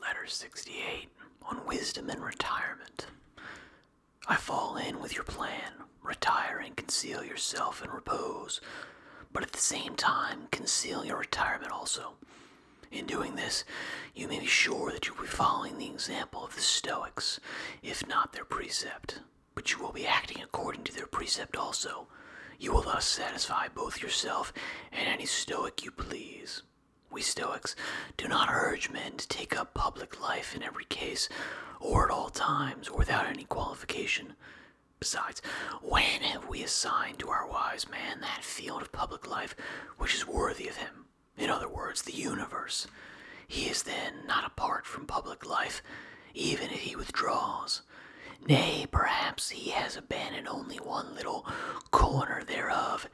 Letter 68 on Wisdom and Retirement. I fall in with your plan. Retire and conceal yourself in repose, but at the same time, conceal your retirement also. In doing this, you may be sure that you will be following the example of the Stoics, if not their precept, but you will be acting according to their precept also. You will thus satisfy both yourself and any Stoic you please. We Stoics do not urge men to take up public life in every case, or at all times, or without any qualification. Besides, when have we assigned to our wise man that field of public life which is worthy of him? In other words, the universe. He is then not apart from public life, even if he withdraws. Nay, perhaps he has abandoned only one little corner thereof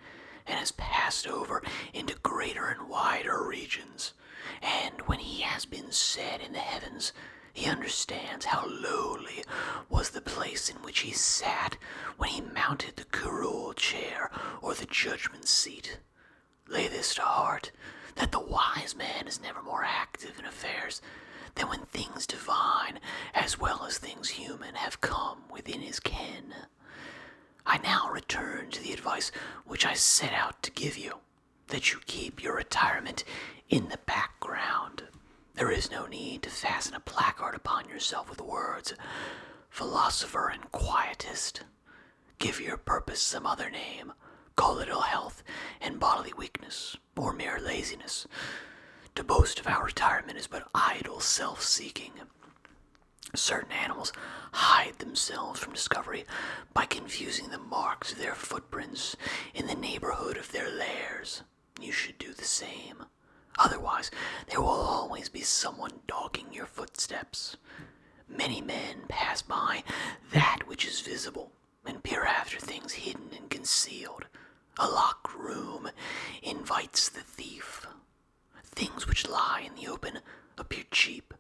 and has passed over into greater and wider regions. And when he has been set in the heavens, he understands how lowly was the place in which he sat when he mounted the curule chair or the judgment seat. Lay this to heart, that the wise man is never more active in affairs than when things divine as well as things human have come within his ken. I now return to the advice which I set out to give you that you keep your retirement in the background. There is no need to fasten a placard upon yourself with words, philosopher and quietist. Give your purpose some other name, call it ill health and bodily weakness, or mere laziness. To boast of our retirement is but idle self seeking. Certain animals hide themselves from discovery by confusing the marks of their footprints in the neighborhood of their lairs. You should do the same. Otherwise, there will always be someone dogging your footsteps. Many men pass by that which is visible and peer after things hidden and concealed. A locked room invites the thief. Things which lie in the open appear cheap.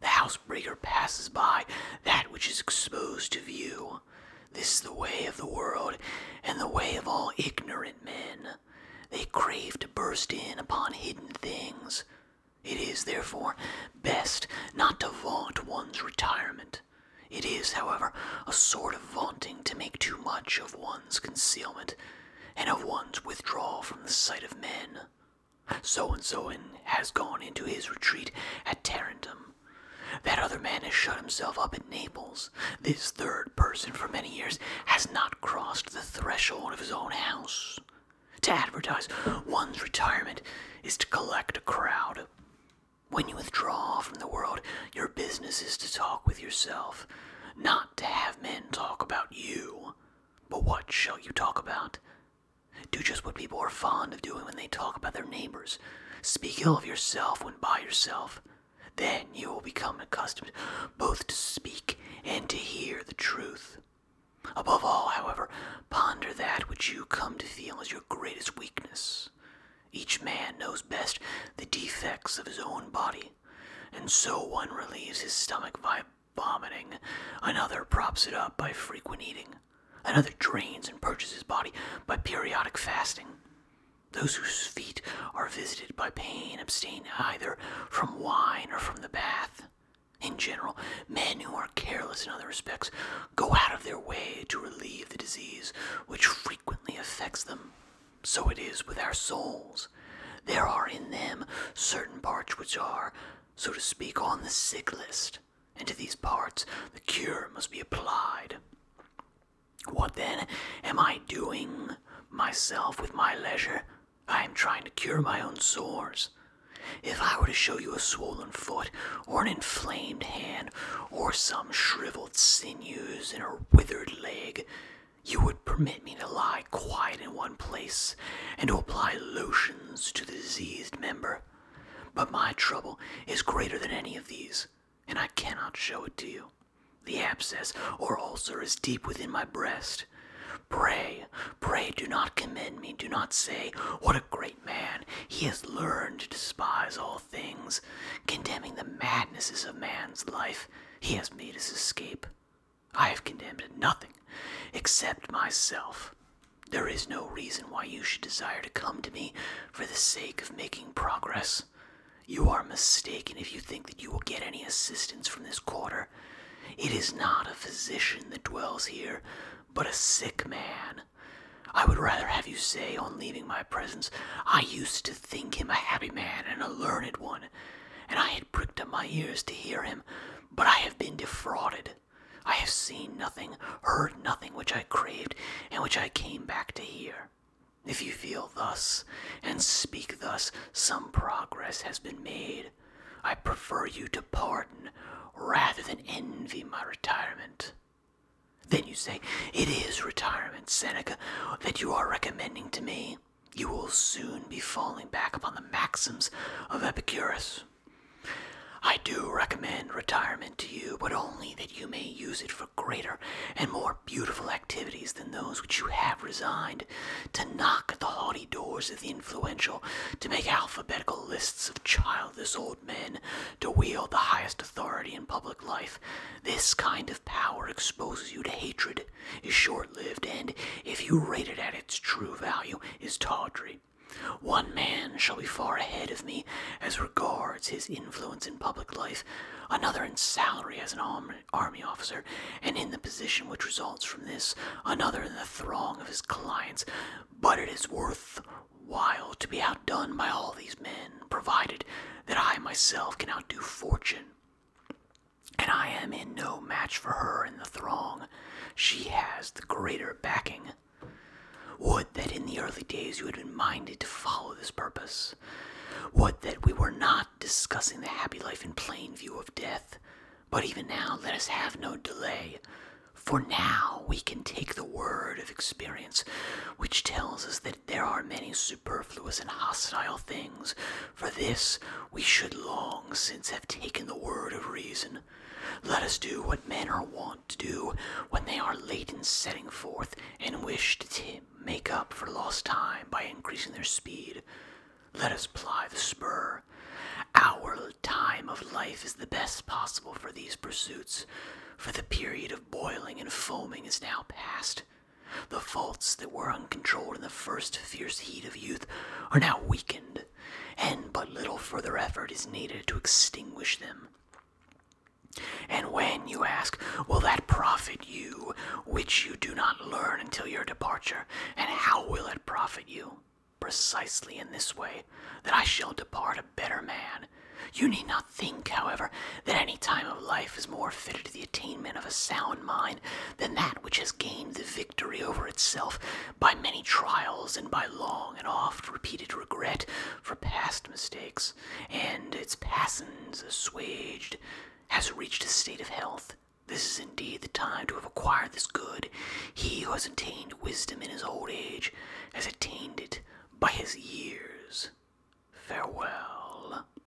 The housebreaker passes by that which is exposed to view. This is the way of the world, and the way of all ignorant men. They crave to burst in upon hidden things. It is, therefore, best not to vaunt one's retirement. It is, however, a sort of vaunting to make too much of one's concealment and of one's withdrawal from the sight of men. So and so and has gone into his retreat at Tarentum. That other man has shut himself up at Naples. This third person for many years has not crossed the threshold of his own house. To advertise one's retirement is to collect a crowd. When you withdraw from the world, your business is to talk with yourself, not to have men talk about you, but what shall you talk about? Do just what people are fond of doing when they talk about their neighbors. Speak ill of yourself when by yourself. Then you will become accustomed both to speak and to hear the truth. Above all, however, ponder that which you come to feel as your greatest weakness. Each man knows best the defects of his own body, and so one relieves his stomach by vomiting, another props it up by frequent eating, another drains and purges his body by periodic fasting. Those whose feet are visited by pain abstain either from wine or from the bath. In general, men who are careless in other respects go out of their way to relieve the disease which frequently affects them. So it is with our souls. There are in them certain parts which are, so to speak, on the sick list, and to these parts the cure must be applied. What then am I doing myself with my leisure? I am trying to cure my own sores. If I were to show you a swollen foot, or an inflamed hand, or some shriveled sinews in a withered leg, you would permit me to lie quiet in one place and to apply lotions to the diseased member. But my trouble is greater than any of these, and I cannot show it to you. The abscess or ulcer is deep within my breast. Pray, pray, do not commend me, do not say, What a great man! He has learned to despise all things, condemning the madnesses of man's life he has made his escape. I have condemned nothing except myself. There is no reason why you should desire to come to me for the sake of making progress. You are mistaken if you think that you will get any assistance from this quarter. It is not a physician that dwells here, but a sick man. I would rather have you say, on leaving my presence, I used to think him a happy man and a learned one, and I had pricked up my ears to hear him, but I have been defrauded. I have seen nothing, heard nothing which I craved, and which I came back to hear. If you feel thus, and speak thus, some progress has been made. I prefer you to pardon rather than envy my retirement. Then you say, It is retirement, Seneca, that you are recommending to me you will soon be falling back upon the maxims of Epicurus. I do recommend retirement to you, but only that you may use it for greater and more beautiful activities than those which you have resigned, to knock at the haughty doors of the influential, to make alphabetical lists of childless old men, to wield the highest authority in public life. This kind of power exposes you to hatred is short lived and, if you rate it at its true value, is tawdry. One man shall be far ahead of me as regards his influence in public life, another in salary as an army officer, and in the position which results from this, another in the throng of his clients. But it is worth while to be outdone by all these men, provided that I myself can outdo fortune and I am in no match for her in the throng. She has the greater backing. Would that in the early days you had been minded to follow this purpose. Would that we were not discussing the happy life in plain view of death. But even now, let us have no delay. For now, we can take the word of experience, which tells us that there are many superb superfluous and hostile things. For this we should long since have taken the word of reason. Let us do what men are wont to do when they are late in setting forth and wish to make up for lost time by increasing their speed. Let us ply the spur. Our time of life is the best possible for these pursuits, for the period of boiling and foaming is now past. The faults that were uncontrolled in the first fierce heat of youth are now weakened, and but little further effort is needed to extinguish them. And when, you ask, will that profit you, which you do not learn until your departure, and how will it profit you? Precisely in this way, that I shall depart a better man. You need not think, however, that any time of life is more fitted to the attainment of a sound mind than that which has gained the victory over itself by many trials and by long and oft repeated regret for past mistakes, and its passions assuaged, has reached a state of health. This is indeed the time to have acquired this good. He who has attained wisdom in his old age has attained it by his years. Farewell.